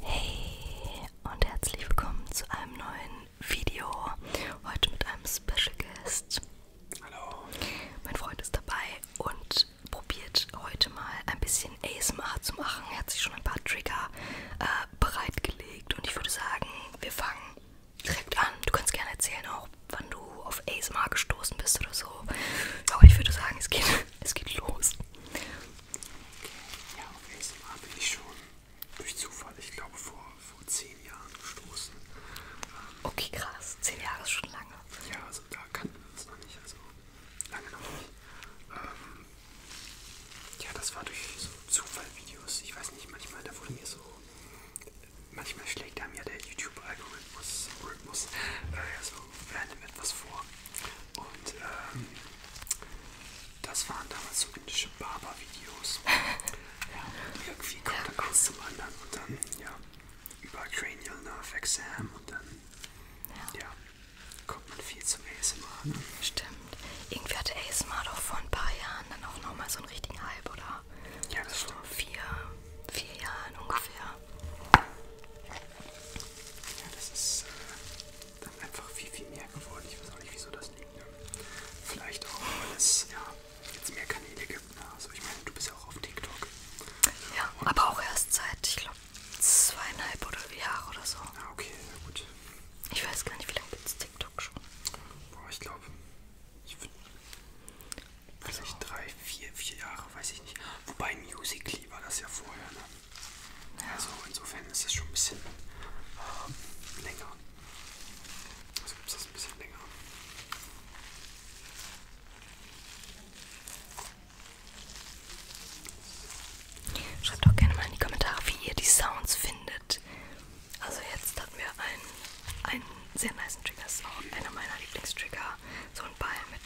Hey und herzlich willkommen zu einem neuen Video. Heute mit einem Special Guest. Hallo. Mein Freund ist dabei und probiert heute mal ein bisschen ASMR zu machen. Er hat sich schon ein paar Trigger äh, bereitgelegt und ich würde sagen, wir fangen direkt an. Du kannst gerne erzählen auch, wann du auf ASMR gestoßen bist oder so. Aber ich würde sagen, es geht es geht los. Okay. Ja, auf ASMR bin ich schon durch Zufall, ich glaube, vor, vor zehn Jahren gestoßen. Ähm, okay, krass. Zehn Jahre ist schon lange. Ja, also da kannten wir uns noch nicht. Also lange noch nicht. Ähm, ja, das war durch so Zufallvideos. Ich weiß nicht, manchmal, da wurde mir so. Manchmal schlägt einem ja der YouTube-Algorithmus äh, so random etwas vor. Und ähm, das waren damals so indische Barber-Videos. ja, und irgendwie kommt dann eins zum anderen und dann, ja, über Cranial Nerve Exam und dann, ja, ja kommt man viel zum ASMR. Ne? Stimmt. Irgendwie hatte ASMR doch vor ein paar Jahren dann auch nochmal so einen richtigen Hype, oder? Ja, das also stimmt. Vor vier, vier Jahren ungefähr. Ja, das ist äh, dann einfach viel, viel mehr geworden. Ich weiß auch nicht, wieso das liegt. Ne? Vielleicht auch, weil es ja, jetzt mehr Kanäle gibt. Ne? Also ich meine, du bist ja auch auf TikTok. Ja, Und aber auch erst seit, ich glaube, zweieinhalb oder Jahre oder so. Ah, okay, ja gut. Ich weiß gar nicht, wie lange gibt es TikTok schon. Boah, ich glaube, ich würde also. vielleicht drei, vier, vier Jahre, weiß ich nicht. Wobei Musically war das ja vorher, ne? Also insofern ist es schon ein bisschen äh, länger. Also gibt es das ein bisschen länger. Schreibt auch gerne mal in die Kommentare, wie ihr die Sounds findet. Also jetzt hatten wir einen, einen sehr nice Trigger-Sound, einer meiner Lieblingstrigger. So ein Ball mit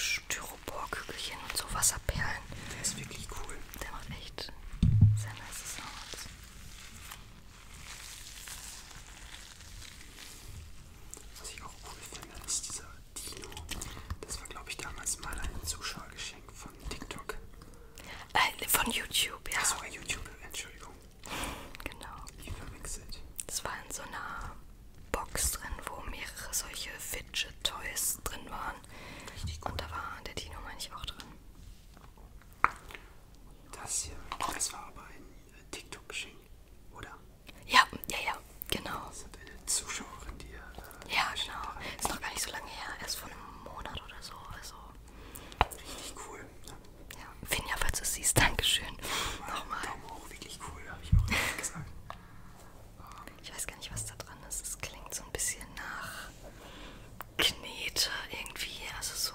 Styro Styropor-Kügelchen und so Wasserperlen. Der ist wirklich cool. Der macht echt sehr nice Sounds. Was ich auch cool finde, ist dieser Dino. Das war, glaube ich, damals mal ein Zuschauergeschenk von TikTok. Äh, von YouTube, ja. Das war YouTube, Entschuldigung. Genau. Ich verwechselt. Das war in so einer Box drin, wo mehrere solche Fidget Toys drin waren. Richtig gut. Und da war der Dino, meine ich, auch drin. Das hier, das war aber ein äh, TikTok-Geschenk, oder? Ja, ja, ja, genau. Das hat eine Zuschauerin, die äh, Ja, genau. Ist noch gar nicht so lange her, erst vor einem Monat oder so. Also. Richtig cool. Ne? Ja, Finja, falls du siehst, Dankeschön. Nochmal. Daumen hoch, wirklich cool, habe ich auch gesagt. Ich weiß gar nicht, was da drin ist. Es klingt so ein bisschen nach Knete irgendwie. Also so.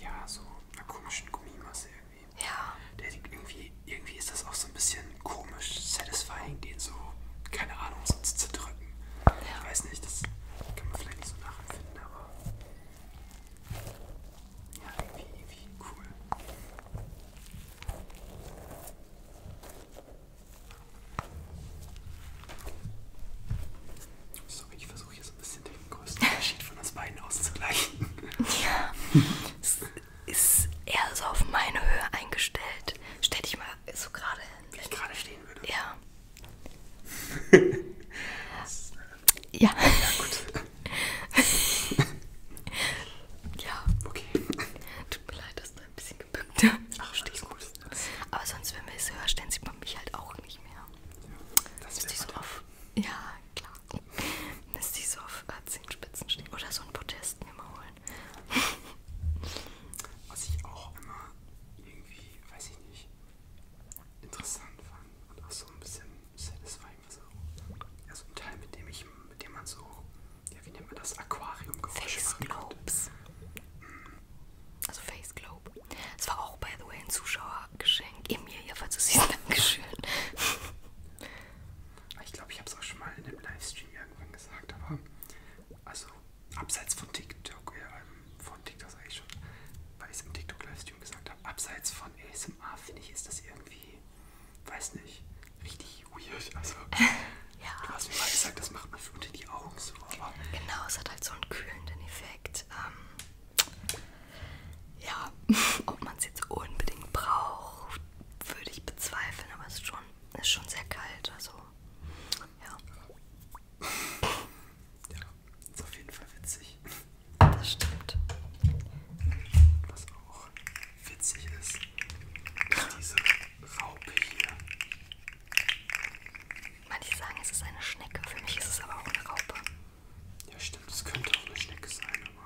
Ja, so einer komischen Gummimasse irgendwie. Ja. Der irgendwie, irgendwie ist das auch so ein bisschen komisch, satisfying, den so, keine Ahnung, so zu zerdrücken. Ja. Ich weiß nicht, das kann man vielleicht nicht so nachempfinden, aber. Ja, irgendwie, irgendwie cool. Sorry, ich versuche hier so ein bisschen den größten Unterschied von uns beiden auszugleichen. Ja, es ist eher so auf meine Höhe eingestellt. Stell dich mal so gerade hin. Wie ich gerade stehen würde? Ja. ja. Ja, gut ja. Okay. Tut mir leid, dass du ein bisschen gebückt Ach, stehst gut. Aber sonst, wenn wir es höher stellen, sieht man mich halt auch nicht mehr. Ja, das ist so auf. Ja, klar. Müsste ich so auf äh, Zehenspitzen stehen. Oder so ein Protest mir mal holen. Was ich auch immer irgendwie, weiß ich nicht, interessant fand und auch so ein bisschen satisfying so, also ein Teil, mit dem, ich, mit dem man so, ja, wie nennt man das, Aquarium Face Globes. Mhm. Also Face Globe. Es war auch, by the way, ein Zuschauergeschenk. Emilia, falls du siehst, Dankeschön. Ich glaube, ich habe es auch schon mal in einem Livestream irgendwann gesagt, aber also abseits von TikTok, äh, ähm, von TikTok sage ich schon, weil ich es im TikTok-Livestream gesagt habe, abseits von ASMR finde ich, ist das irgendwie weiß nicht, richtig weird. Also, ja. du hast mir mal gesagt, das macht man für unter die Augen so. Aber genau, es hat halt so einen kühlenden Effekt. Ähm, ja, ob man es jetzt unbedingt braucht, würde ich bezweifeln, aber es ist schon, ist schon sehr kalt. Also, ja. ja. Ja, ist auf jeden Fall witzig. Das stimmt. Das auch witzig ist, diese Raupe hier. Manche sagen, es ist eine Schnecke. Für mich ist es aber auch eine Raupe. Ja, stimmt. Es könnte auch eine Schnecke sein, aber.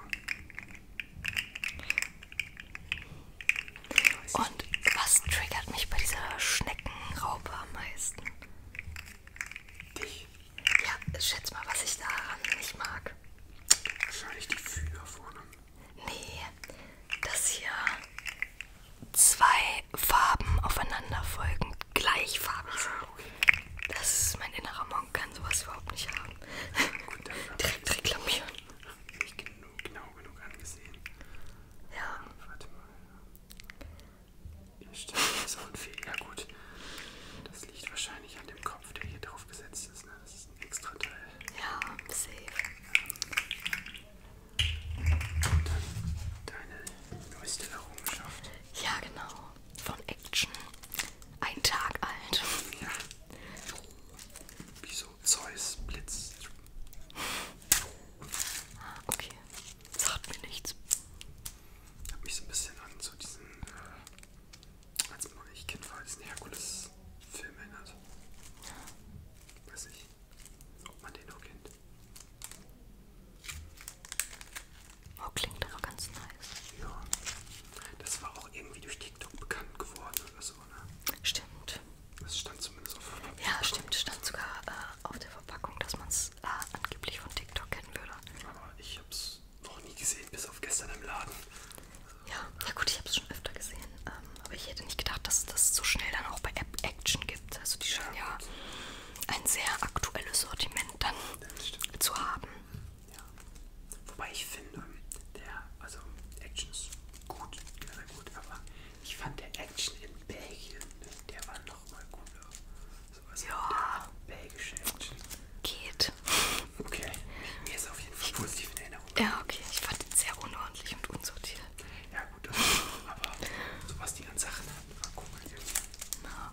Und was triggert mich bei dieser Schneckenraupe am meisten? Dich? Ja, schätz mal, was ich daran nicht mag. Wahrscheinlich die Fühler vorne. Nee, dass hier zwei Farben aufeinander folgen, gleichfarbig sind. Ah, das ist mein innerer Monk, kann sowas überhaupt nicht haben. Gut, Direkt reklamieren. Hab ich genug, genau genug angesehen. Ja. Warte mal. Hier steht das Outfit. Ja gut. Das liegt wahrscheinlich an dem Kopf, der hier drauf gesetzt ist. Ne? Das ist ist ein extra Teil. Ja, safe. Und dann deine neueste Errungenschaft. Ja, genau. Von Action. Ein Tag alt. Ja. Wieso Zeus Blitz? Okay, sagt mir nichts. Hat mich so ein bisschen an so diesen äh, als man noch nicht Kind war, diesen Herkules-Film erinnert. Weiß nicht, ob man den noch kennt. Oh, klingt aber ganz nice. Ja, das war auch irgendwie durch TikTok bekannt geworden oder so, ne? Stimmt. Das stand zumindest auf der Verpackung. Ja, stimmt, stand sogar äh, auf der Verpackung, dass man es äh, angeblich von TikTok kennen würde. Aber ich hab's noch nie gesehen, bis auf gestern im Laden. Ja, ja gut, ich habe es schon öfter gesehen. Ähm, aber ich hätte nicht gedacht, dass es das so schnell dann auch bei App Action gibt. Also die scheinen ja, ja ein sehr aktuelles Sortiment dann ja, zu haben. Ja. Wobei ich finde, ähm, der, also Action ist gut, sehr gut, aber ich fand der Action in Belgien, der war nochmal cooler. So was also ja. belgische Action geht. Okay. Mir ist auf jeden Fall positiv in Erinnerung. Ja, okay. Ich fand ihn sehr unordentlich und unsortiert. Ja, gut, das ist cool, aber so was die an Sachen hatten, war cool. Na.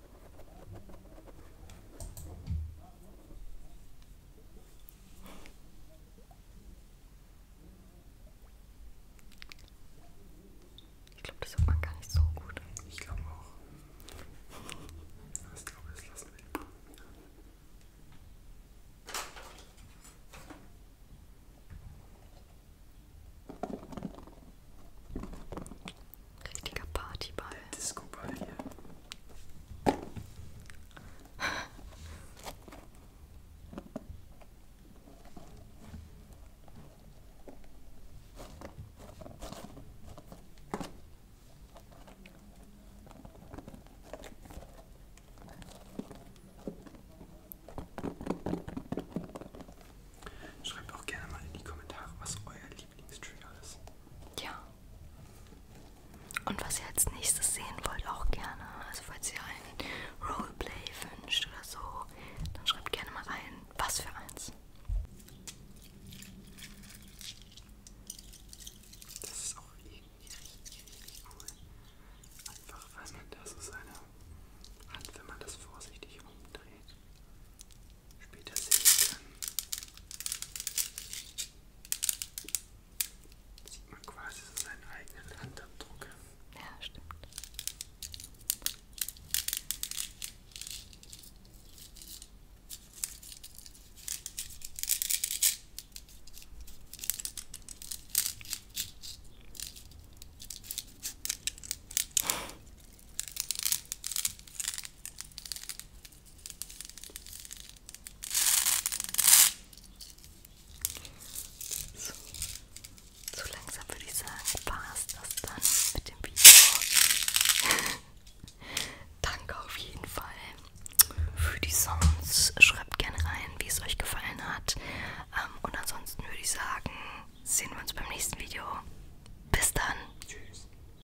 Ich glaube, das hört man gar nicht so gut. Ich glaube auch. Ich glaube, das lassen wir. Richtiger Partyball. Disco-Ball hier. Schreibt auch gerne mal in die Kommentare, was euer Lieblingstrigger ist. Ja. Und was ihr als nächstes sehen wollt, auch gerne. Also falls ihr einen Roleplay wünscht oder so, dann schreibt gerne mal rein, was für eins. Das ist auch irgendwie richtig, richtig cool. Einfach weil man da so seine Hand, wenn man das vorsichtig umdreht, später sehen kann. Sieht man quasi so seinen eigenen Handabdruck. Ja, stimmt. So, so langsam würde ich sagen, passt das dann mit dem Video. Danke auf jeden Fall für die Sounds. Schreibt gerne rein, wie es euch gefallen hat. Ähm, und ansonsten würde ich sagen, sehen wir uns beim nächsten Video. Bis dann. Tschüss.